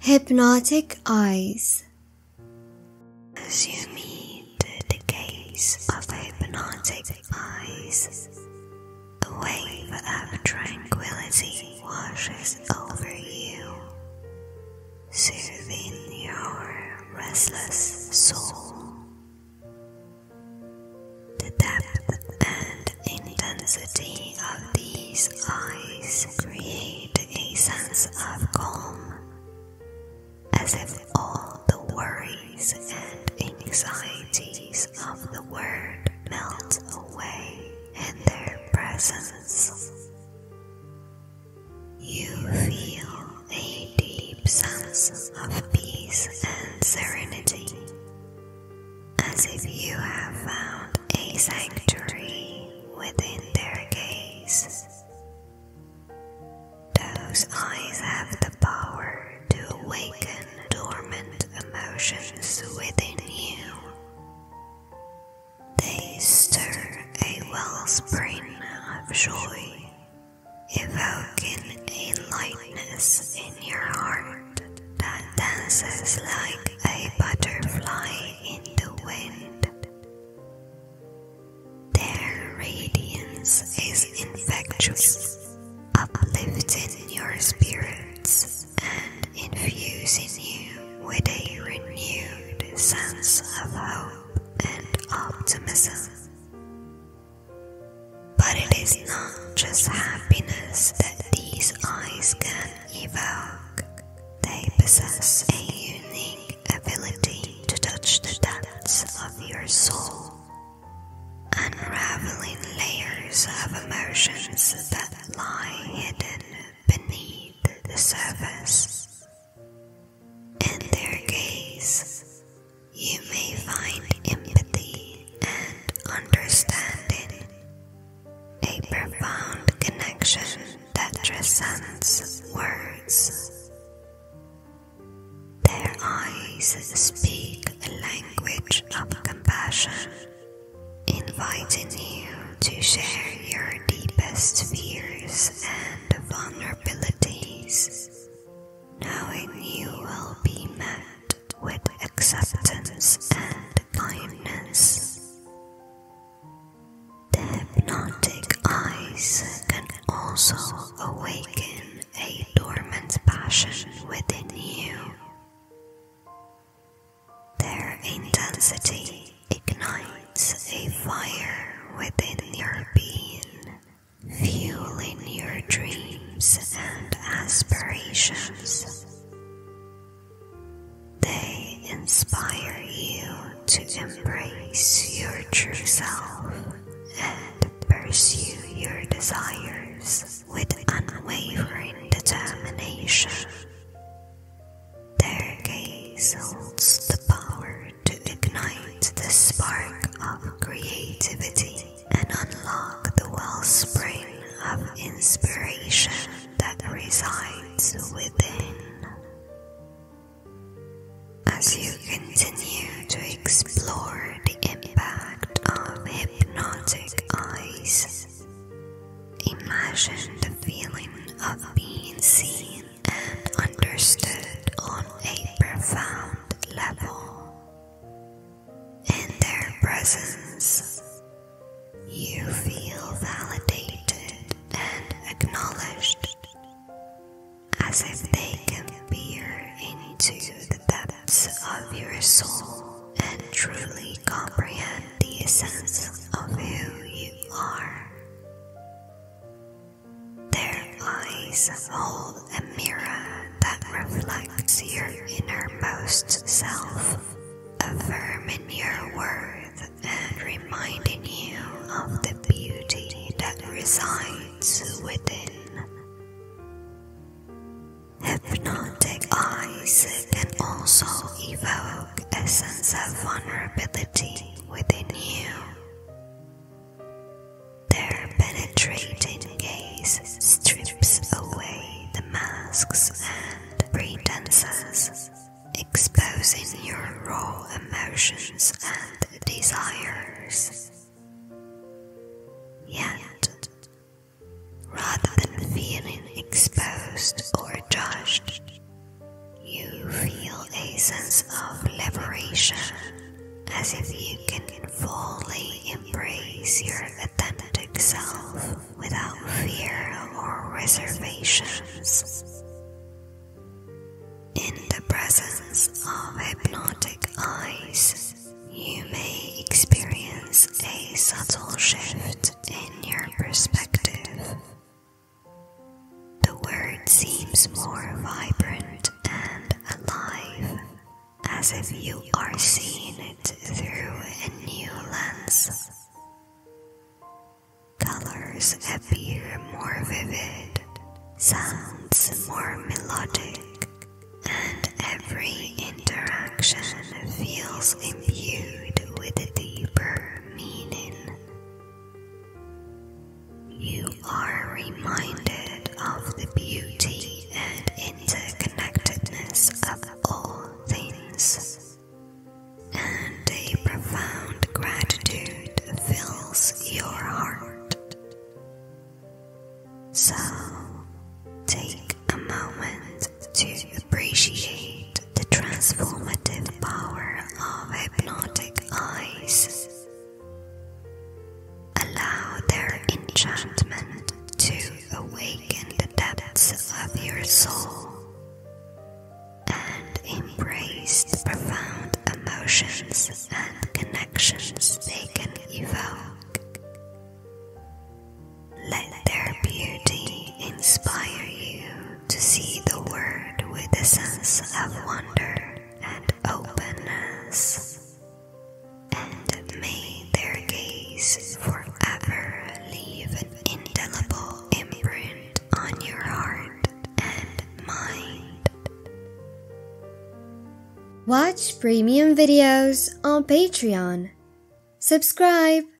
Hypnotic eyes. Assuming the gaze of hypnotic eyes, a wave of tranquility washes over you, soothing your restless soul. The depth and intensity of these eyes create a sense of calm, as if all the worries and anxieties of the world melt away in their presence. You feel a deep sense of peace and serenity as if you have found a sanctuary within their gaze. Those eyes have the power to awaken dormant emotions within you. They stir a wellspring of joy, evoking a lightness in your heart that dances like a butterfly in the wind. Their radiance is infectious, uplifting your spirits and infusing you with a renewed sense of hope and optimism. But it is not just happiness that these eyes can evoke. They possess a unique ability to touch the depths of your soul, unraveling layers of emotions that lie hidden beneath the surface. In their gaze, you may find empathy and understanding a profound connection that transcends words. Their eyes speak a language of compassion, inviting you to share your deepest fears and vulnerabilities knowing you will be met with acceptance and kindness. The hypnotic eyes can also awaken a dormant passion within you. Their intensity ignites a fire within your being fueling your dreams and aspirations. They inspire you to embrace your true self and pursue your desires with unwavering determination. Their gaze the power to ignite the spark of creativity and unlock the wellspring of inspiration that resides within. As you continue to explore the impact of hypnotic eyes, imagine the feeling of being seen and understood on a profound level. In their presence, you feel validated and acknowledged as if they can peer into the depths of your soul and truly comprehend the essence of who you are. Their eyes hold a mirror that reflects your innermost self, affirming your worth and reminding you of the beauty that resides within. Hypnotic eyes can also evoke a sense of vulnerability within you, their penetrating gaze strips away the masks and pretenses, exposing your raw emotions and desires. Yet, rather than feeling exposed or judged, you feel a sense of liberation as if you can fully embrace your authentic self without fear or reservations. In the presence of hypnotic eyes, you may experience a subtle shift in your perspective the word seems more vibrant and alive, as if you are seeing it through a new lens. Colors appear more vivid, sounds more melodic, and every interaction feels imbued with deeper meaning you are reminded of the beauty and interconnectedness of all things, and a profound gratitude fills your heart. So, take a moment to appreciate the transformative power of hypnotic eyes. Allow their enchantment to awaken the depths of your soul and embrace the profound emotions and connections they can evoke. Let their beauty inspire you to see the Word with a sense of wonder and openness, and may their gaze forever leave an indelible imprint on your heart and mind. Watch premium videos on Patreon. Subscribe